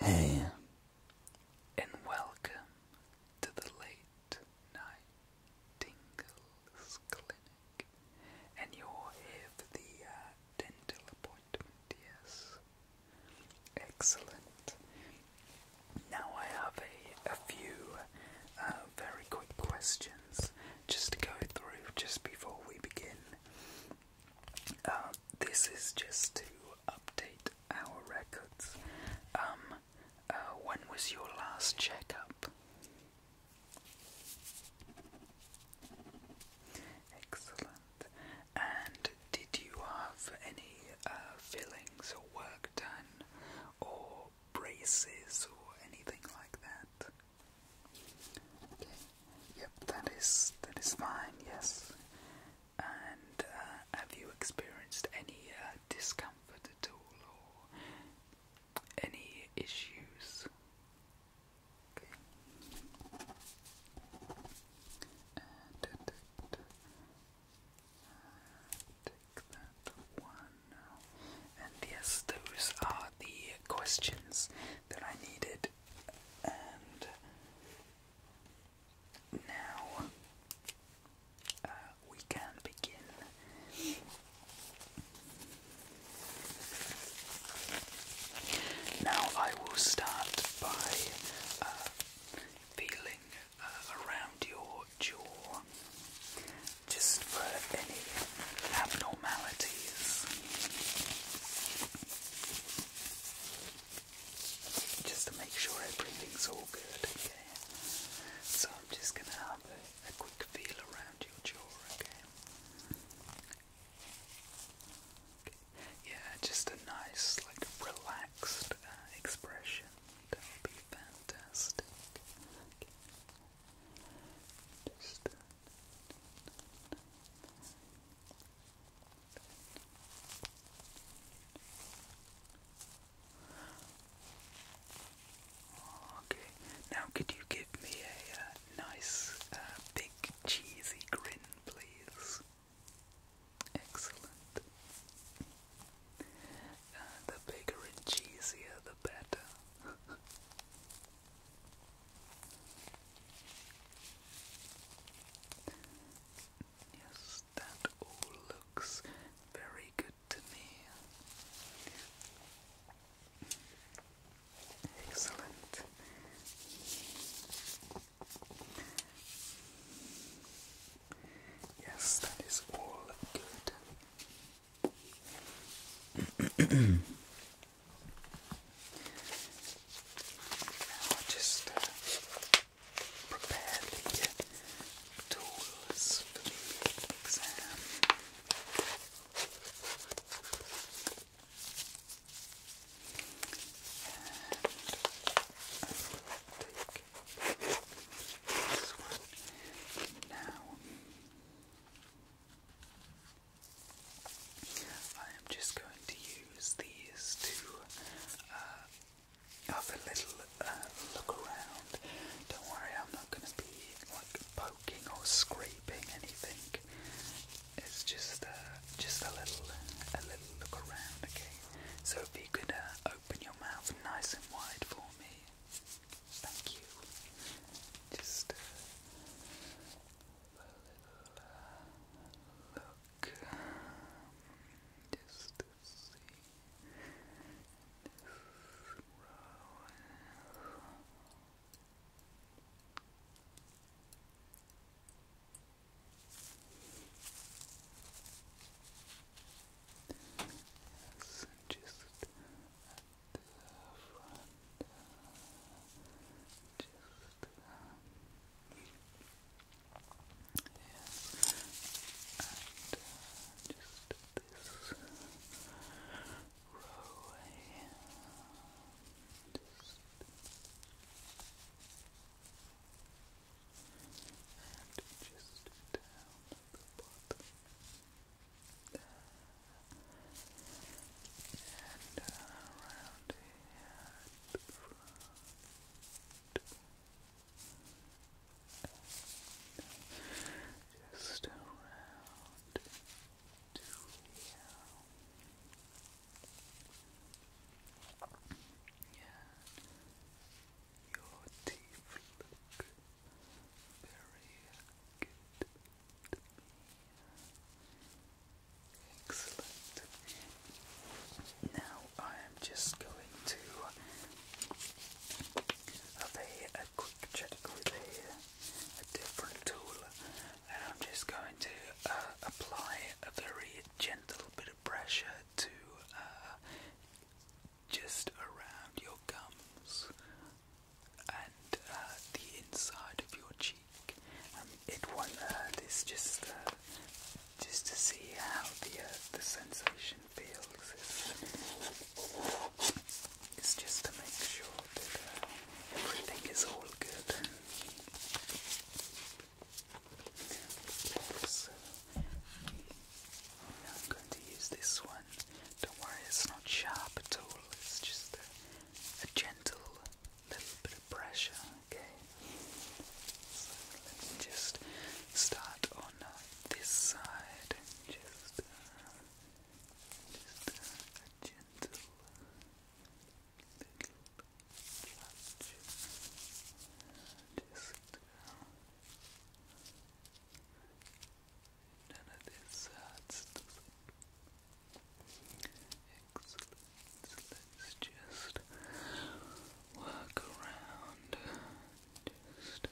and welcome to the Late Night Tingles Clinic. And you're here for the uh, dental appointment, yes? Excellent. Now I have a, few uh, very quick questions just to go through just before we begin. Um, this is just to update our records. Um, uh, when was your last checkup? Excellent. And did you have any uh, fillings or work done or braces or anything like that? Yep, that is that is fine. Yes. And uh, have you experienced any uh, discomfort at all, or any issues? Okay. Uh, take that one and yes, those are the questions that I needed. And now uh, we can begin. Now I will start by uh, feeling uh, around your jaw just for any abnormalities. Just to make sure everything's all good, okay? So I'm just gonna have a, quick feel around your jaw, okay? Yeah, just a nice, like, relaxed uh, expression. That will be fantastic. Just Okay, now could you give me a uh, nice, uh, big, cheesy grin, please? Excellent the bigger and cheesier, the better. yes, that all looks very good to me. Excellent. Yes, that is all good. I'll just uh, prepare the uh, tools for the exam. Now, I am just going to use these to uh, have a little uh, look around. Don't worry, I'm not going to be like poking or scraping anything. It's just uh, just a little a little look around, okay? So if you could uh, open your mouth nice and wide for me Thank you. Just a little look, just to see this row. Okay. Yes, and just at the front, just um, yes, and just this row here, just and just down the bottom. And around here Just around to here. Yeah. Your teeth look very good to me. Excellent. Now I am just going to have a, quick check with a, different tool, and I'm just going to uh, apply a very gentle bit pressure to uh, just around your gums and uh, the inside of your cheek. and um, it won't hurt. It's just uh, just to see how the the sensation feels. It's, just to make sure that everything is all good pencil. I'm going to use this one. Don't worry, it's not sharp at all, it's just a, gentle little bit of pressure, okay? So let me just start on uh, this side and just, uh, just uh, a gentle touch. Just none of this hurts, does it? Excellent. just work around. Just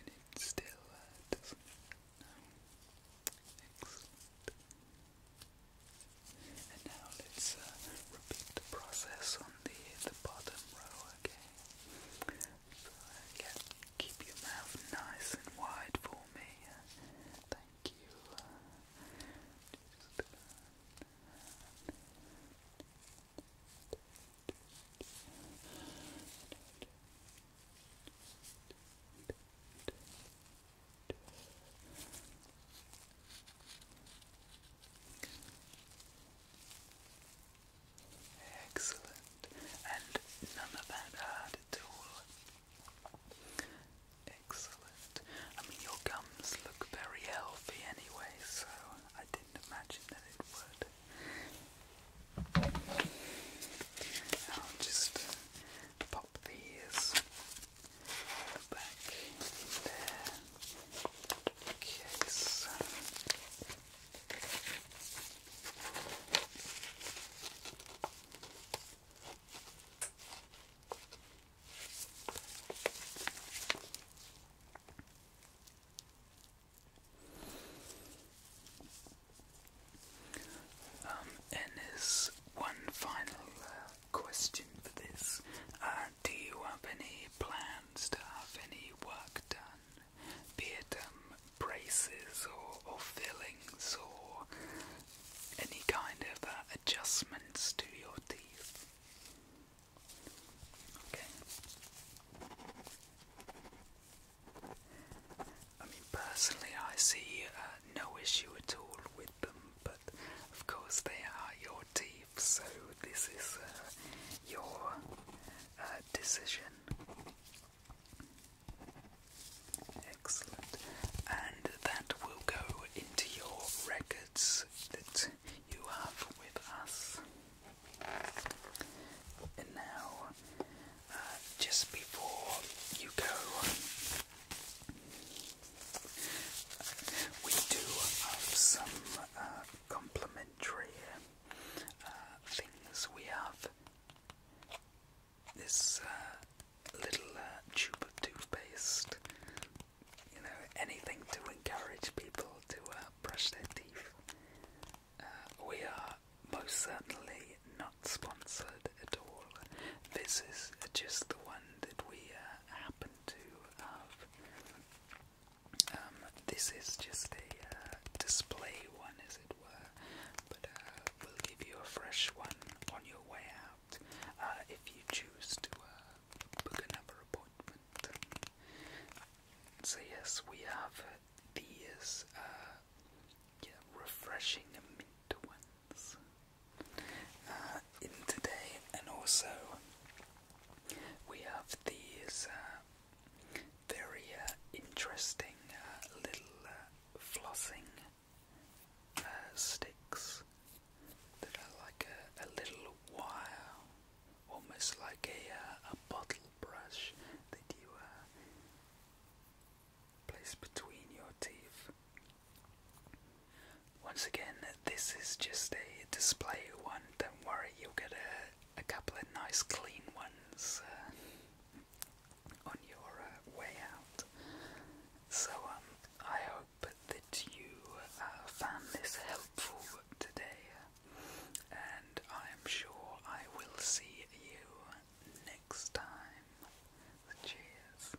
and it still uh, doesn't Excellent. And now let's uh, repeat the process on the the bottom row, okay? So uh, keep your mouth nice and wide for me. Uh, thank you. Excellent, and none of that hard at all. Excellent. I mean, your gums look very healthy anyway, so I didn't imagine that it would. I'll just pop these back in their case. Um, and one final uh, question for this. Uh, do you have any plans to have any work done? Be it um, braces or, fillings or any kind of uh, adjustments to your teeth? I mean, personally, I see uh, no issue at all with them, but of course, they are your teeth, so this is uh, your uh, decision. Excellent. And that will go into your records that you have with us. And now, uh, just before you go, we do have some uh, complimentary uh, things. We have this uh, little tube of toothpaste. You know, anything to encourage people to brush their teeth. Uh, we are most certainly not sponsored at all. This is just the one that we uh, happen to have. Um, this is just a uh, display one, as it were, but uh, we'll give you a fresh one on your way out uh, if you choose to uh, so yes, we have these uh, refreshing mint ones uh, in today, and also we have these uh, very interesting little flossing sticks that are like a, a little wire almost like a, uh, a bottle brush that you uh, place between your teeth. Once again, this is just a display one, don't worry, you'll get a, a couple of nice clean ones uh, on your way out. So, um, I hope. But that you uh, found this helpful today, and I'm sure I will see you next time. Cheers.